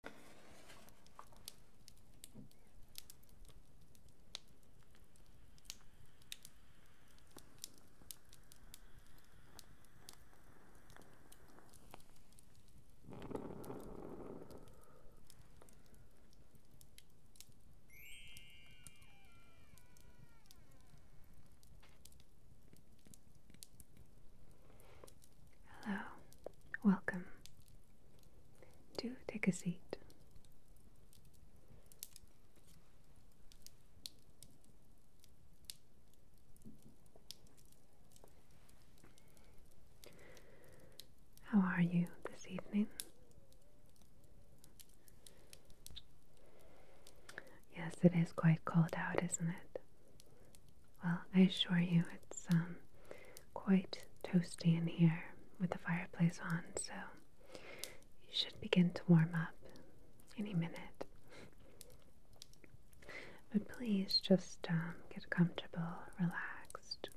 Hello, welcome. Do take a seat. How are you this evening? Yes, it is quite cold out, isn't it? Well, I assure you it's um, quite toasty in here with the fireplace on, so you should begin to warm up any minute. But please just um, get comfortable, relaxed.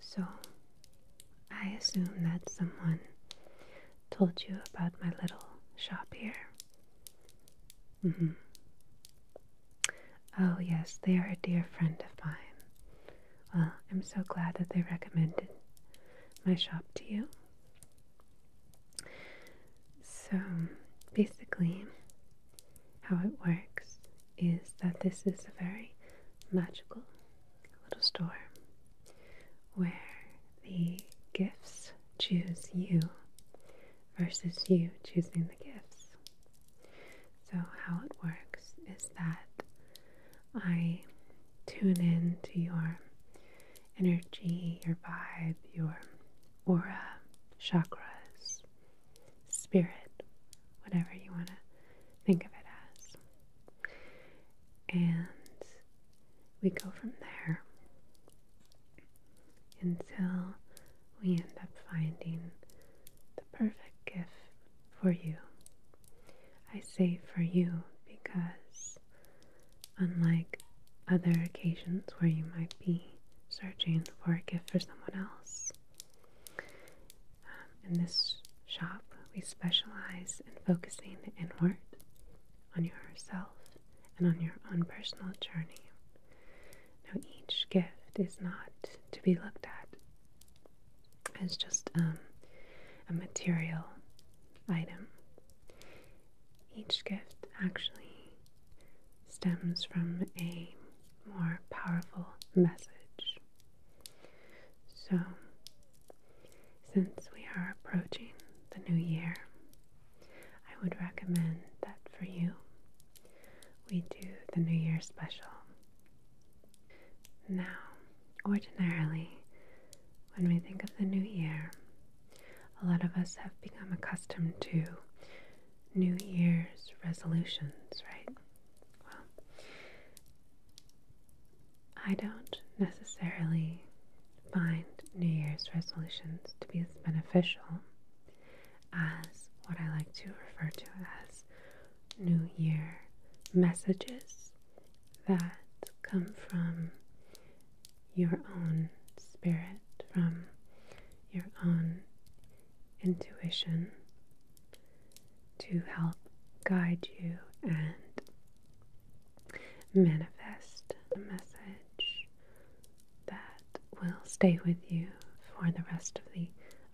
So, I assume that someone told you about my little shop here. Mm -hmm. Oh, yes, they are a dear friend of mine. Well, I'm so glad that they recommended my shop to you. So, basically, how it works is that this is a very magical little store where the gifts choose you versus you choosing the gifts. So, how it works is that I tune in to your energy, your vibe, your aura, chakras, spirit, whatever you want to think of it as. And we go from there until we end up finding the perfect gift for you. I say for you because, unlike other occasions where you might be searching for a gift for someone else, um, in this shop we specialize in focusing inward on yourself and on your own personal journey. Now, each gift is not to be looked at as just um, a material item. Each gift actually stems from a more powerful message. So, since we are approaching the new year, I would recommend that for you we do the New Year special. Now, ordinarily, when we think of the new year, a lot of us have become accustomed to New Year's resolutions, right? Well, I don't necessarily find New Year's resolutions to be as beneficial as what I like to refer to as New Year messages that come from your own spirit, from your own intuition to help guide you and manifest a message that will stay with you for the rest of the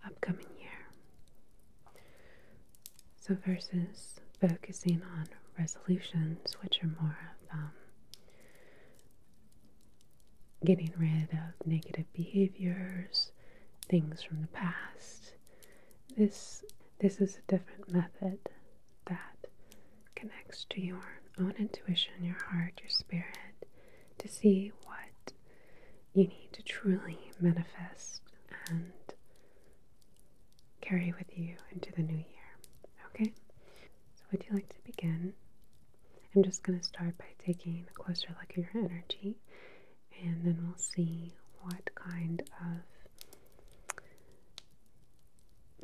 upcoming year. So, versus focusing on resolutions, which are more of um, getting rid of negative behaviors, things from the past. This this is a different method that connects to your own intuition, your heart, your spirit, to see what you need to truly manifest and carry with you into the new year. Okay? So, would you like to begin? I'm just going to start by taking a closer look at your energy, and then we'll see what kind of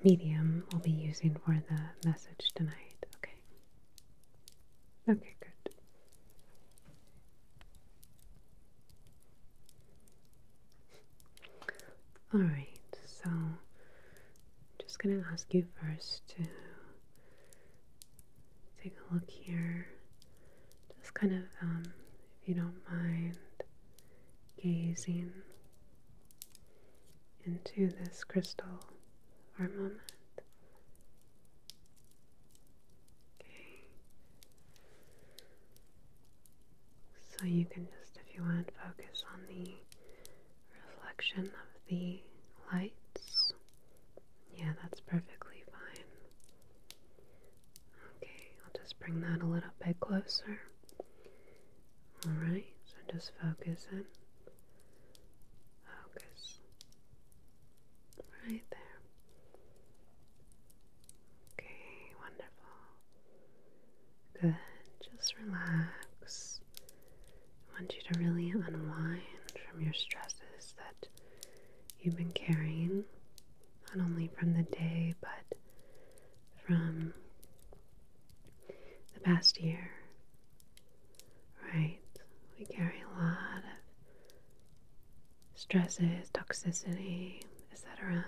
medium we'll be using for the message tonight. Okay? Okay, good. All right, so I'm just going to ask you first to take a look here. Just kind of, um, if you don't mind, gazing into this crystal armament. Okay. So you can just, if you want, focus on the reflection of the lights. Yeah, that's perfectly fine. Okay, I'll just bring that a little bit closer. Alright, so just focus in Focus. Right there. Okay, wonderful. Good. Just relax. I want you to really unwind from your stresses that you've been carrying, not only from the day, but from the past year right? We carry a lot of stresses, toxicity, etc.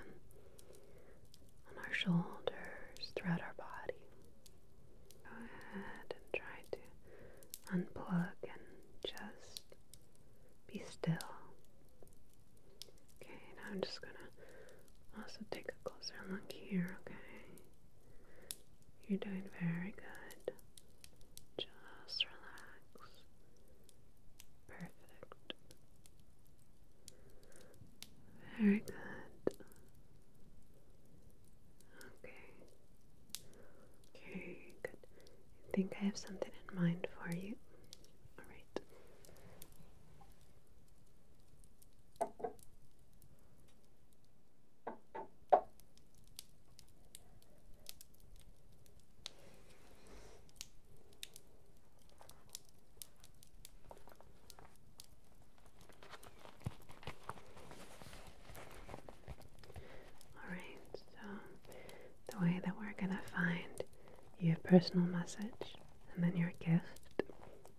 on our shoulders, throughout our body. Go ahead and try to unplug and just be still. Okay, now I'm just gonna also take a closer look here, okay? You're doing very good. Just relax. Perfect. Very good. Okay. Okay, good. I think I have something in mind for you. Alright. Alright, so the way that we're going to find your personal message and then your gift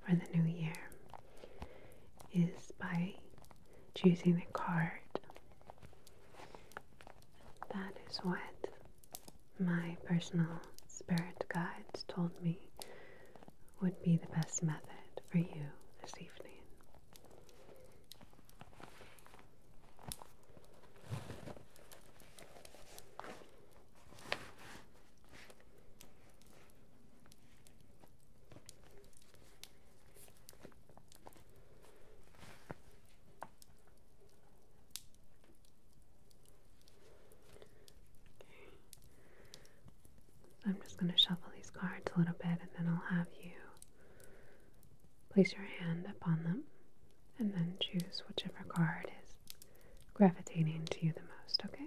for the new year is by choosing the card. That is what my personal spirit guides told me would be the best method for you this evening. I'm just going to shuffle these cards a little bit and then I'll have you place your hand upon them and then choose whichever card is gravitating to you the most, okay?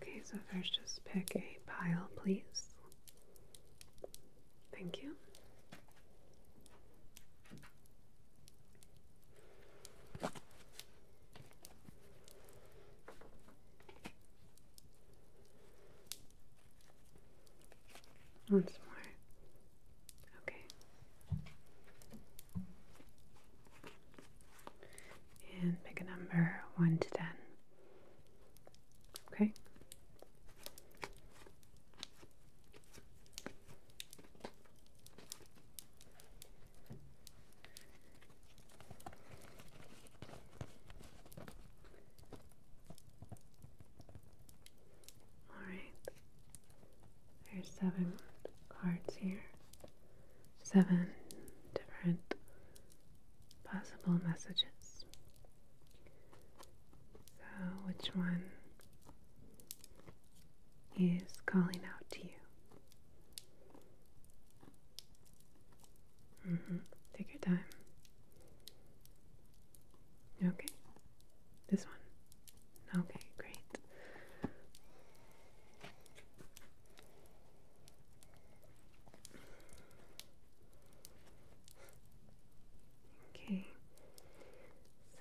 Okay, so first just pick a pile, please. Thank you. Once more. Okay. And pick a number 1 to 10. Okay. Alright, there's seven cards here. Seven different possible messages. So, which one is calling out to you? Mm-hmm. Take your time. Okay. This one. Okay, great. Okay.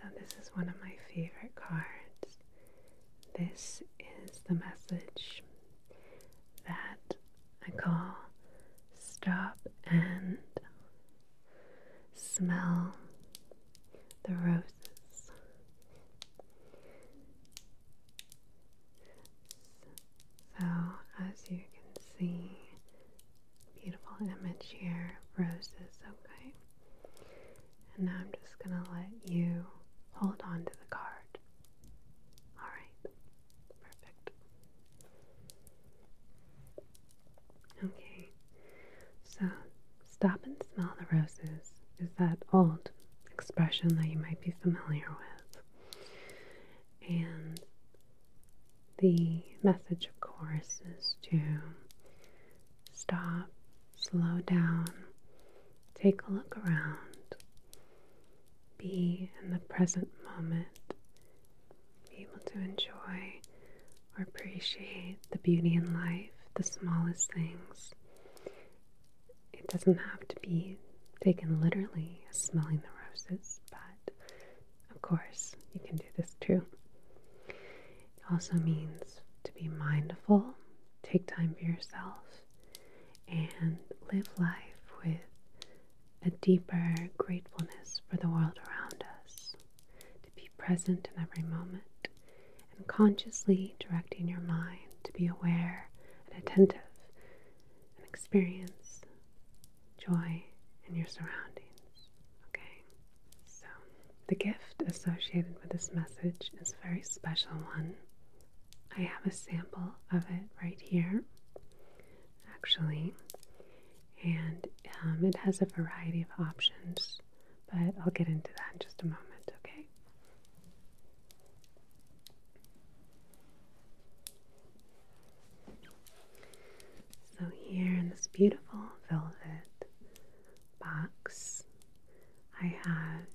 So this is one of my favorite cards. This is the message that I call stop and Smell the roses. So, as you can see, beautiful image here, roses, okay. And now I'm just going to let you hold on to the card. Alright, perfect. Okay, so stop and smell the roses is that old expression that you might be familiar with. And the message, of course, is to stop, slow down, take a look around, be in the present moment, be able to enjoy or appreciate the beauty in life, the smallest things. It doesn't have to be taken literally as smelling the roses, but of course, you can do this too. It also means to be mindful, take time for yourself, and live life with a deeper gratefulness for the world around us to be present in every moment and consciously directing your mind to be aware and attentive and experience joy in your surroundings. Okay? So, the gift associated with this message is a very special one. I have a sample of it right here. Actually, and um, it has a variety of options, but I'll get into that in just a moment, okay? So, here in this beautiful velvet box, I have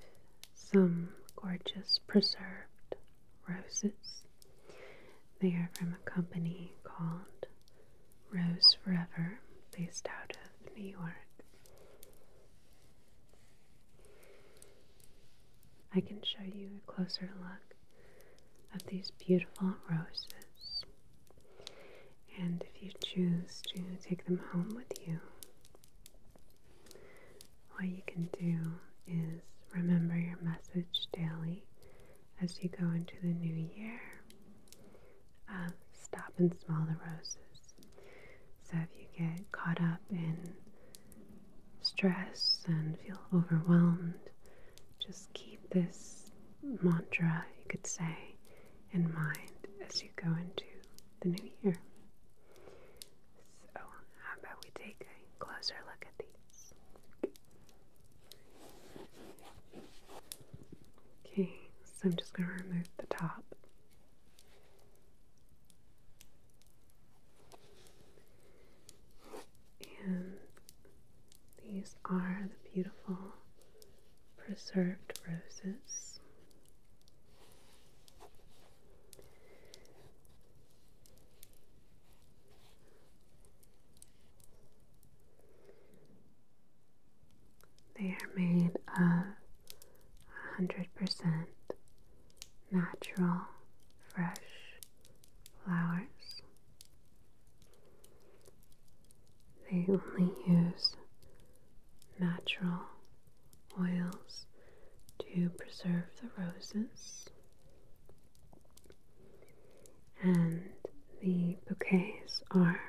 some gorgeous preserved roses. They are from a company called Rose Forever, based out of New York. I can show you a closer look of these beautiful roses. And if you choose to take them home with you, what you can do is remember your message daily as you go into the new year um, stop and smell the roses. So if you get caught up in stress and feel overwhelmed, just keep this mantra, you could say, in mind as you go into the new year. So, how about we take a closer look at these? Okay, so I'm just going to remove the top. And these are the beautiful preserved roses. They are made of 100% natural fresh flowers. They only use natural oils to preserve the roses and the bouquets are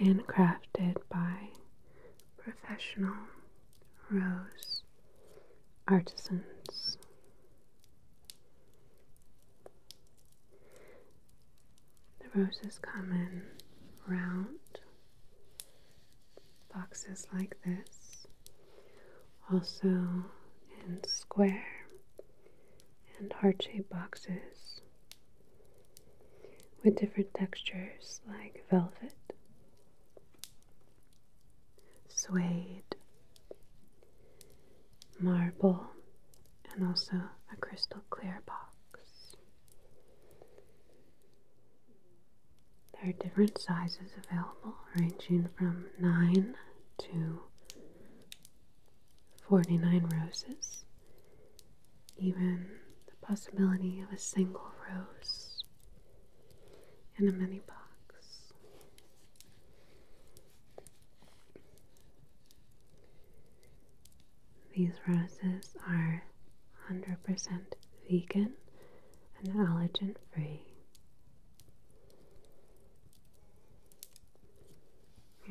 handcrafted by professional rose artisans. The roses come in round boxes like this, also in square and heart shaped boxes with different textures like velvet, suede, marble, and also a crystal clear box. There are different sizes available, ranging from 9 to 49 roses even the possibility of a single rose in a mini box. These roses are 100% vegan and allergen free.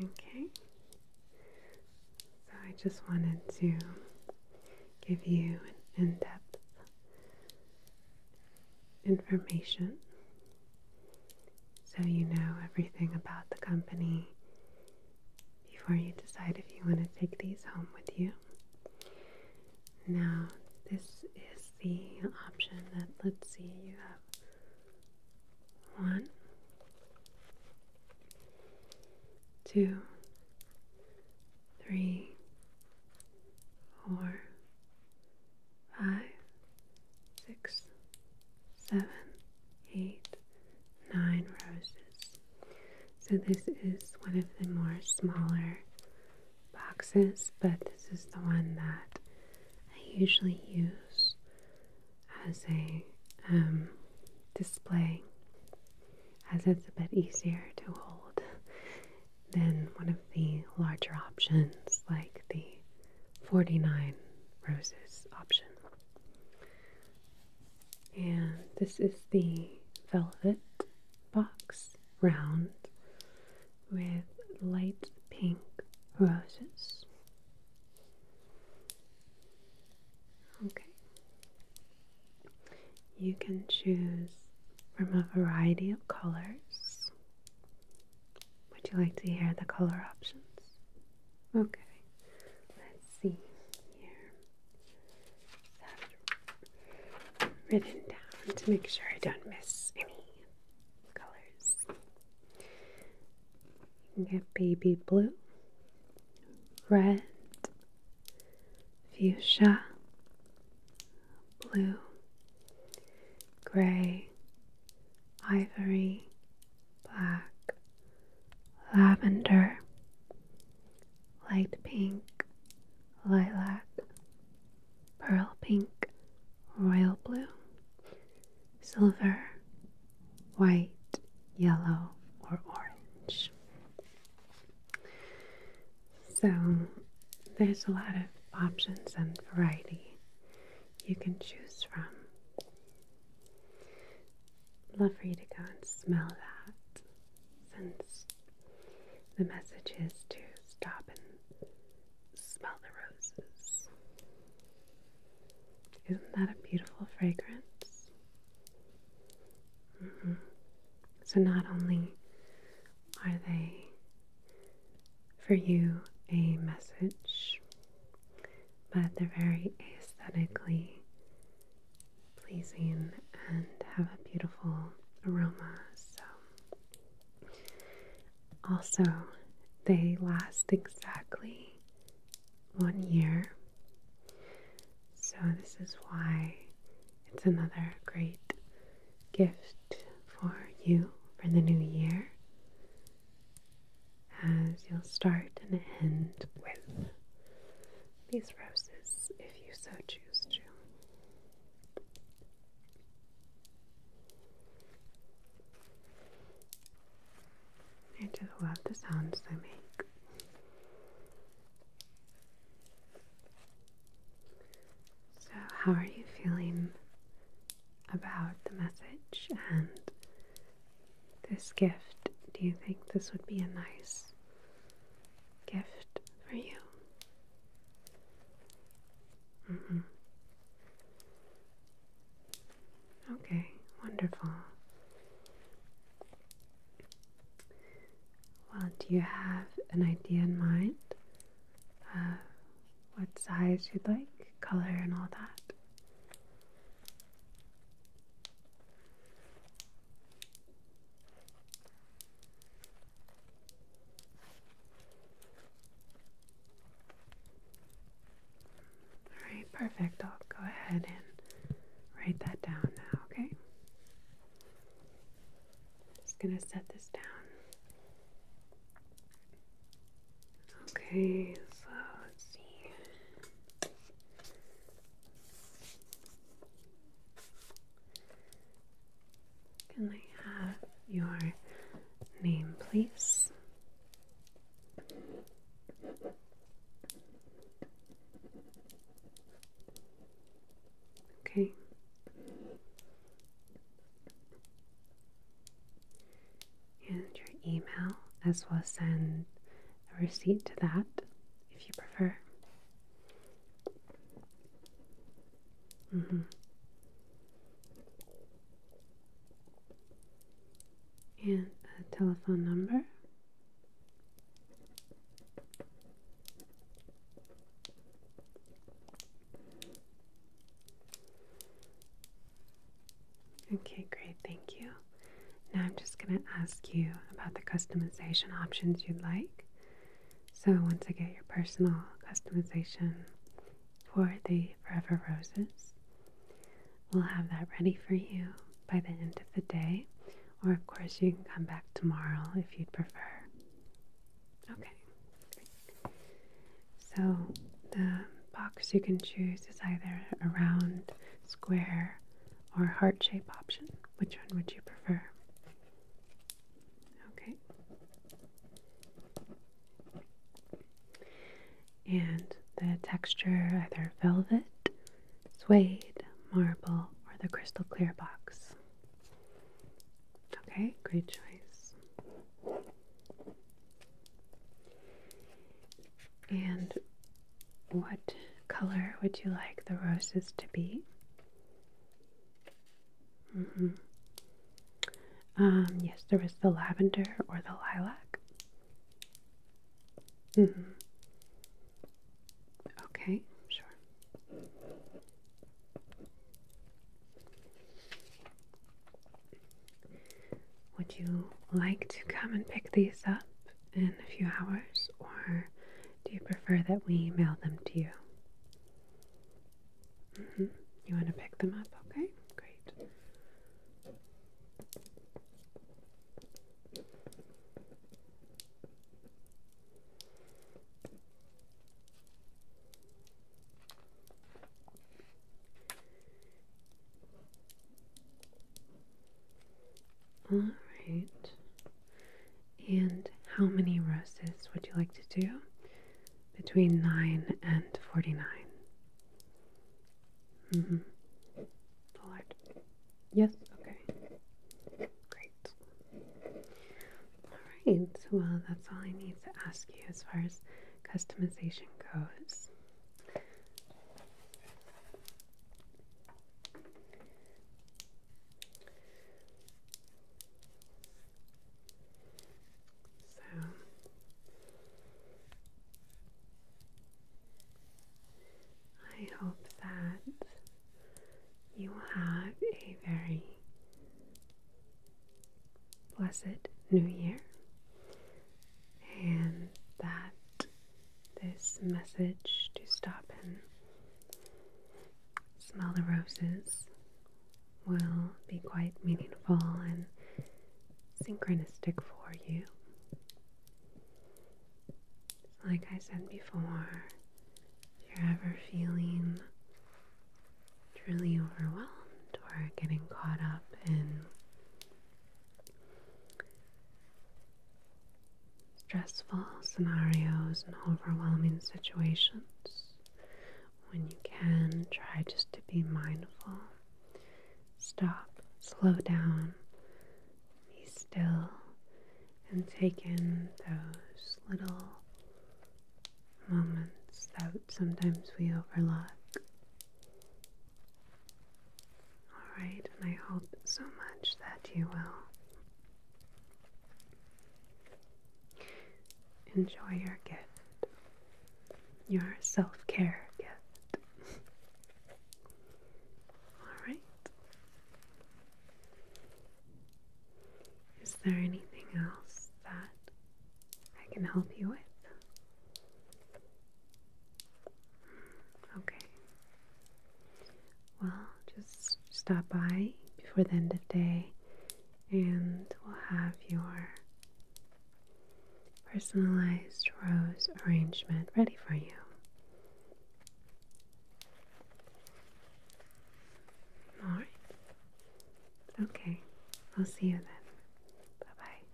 Okay, so I just wanted to give you an in depth information so you know everything about the company before you decide if you want to take these home with you. Now, this is the option that, let's see, you have one, two, three, four, five, six, seven, eight, nine roses. So this is one of the more smaller boxes, but this is the one that I usually use as a um, display, as it's a bit easier to hold than one of the larger options like the 49 roses option. And this is the velvet box round with light pink roses. Okay. You can choose from a variety of colors. Would you like to hear the color options? Okay. Let's see here. written down to make sure I don't miss any colors. You get baby blue, red, fuchsia, blue, gray, ivory, black, lavender, light pink, lilac, pearl pink, royal blue, silver, white, yellow, or orange. So there's a lot of options and variety you can choose from. Love for you to go and smell that since the message is to stop and smell the roses. Isn't that a beautiful fragrance? Mm-hmm. So, not only are they for you a message, but they're very aesthetically pleasing and have a beautiful aroma. So, also, they last exactly one year. So, this is why it's another great gift for you for the new year, as you'll start and end with these roses if you so choose to. I just love the sounds they make. So, how are you feeling about the message and this gift? Do you think this would be a nice gift for you? Mm-hmm. Okay, wonderful. Well, do you have an idea in mind uh, what size you'd like, color, and all that? Alright, perfect. I'll go ahead and write that down now, okay? Just gonna set this down. Okay, so let's see. Can I have your name, please? Okay. And your email as well send a receipt to that if you prefer. Mm-hmm and a telephone number. Okay, great, thank you. Now I'm just going to ask you about the customization options you'd like. So, once I get your personal customization for the Forever Roses, We'll have that ready for you by the end of the day, or of course, you can come back tomorrow if you'd prefer. Okay. So, the box you can choose is either a round, square, or heart shape option. Which one would you prefer? Okay. And the texture either velvet suede, marble, or the crystal clear box. Okay, great choice. And what color would you like the roses to be? Mm-hmm. Um, yes, there was the lavender or the lilac. Mm -hmm. Okay, sure. Would you like to come and pick these up in a few hours, or do you prefer that we mail them to you? Mm -hmm. You want to pick them up? Okay, great. All right. And how many roses would you like to do? Between 9 and 49. Mm hmm. All right. Yes? Okay. Great. Alright, well, uh, that's all I need to ask you as far as customization goes. So, I hope that you will have a very blessed new year and that this message to stop and smell the roses will be quite meaningful and synchronistic for you like I said before, if you're ever feeling truly overwhelmed or getting caught up in stressful scenarios and overwhelming situations, when you can, try just to be mindful. Stop, slow down, be still and take in those little moments that sometimes we overlook. Alright, and I hope so much that you will enjoy your gift, your self care gift. Alright. Is there anything else that I can help you with? Okay. Well, just stop by before the end of the day and we'll have your personalized rose arrangement ready for you. Alright. Okay. I'll see you then. Bye bye.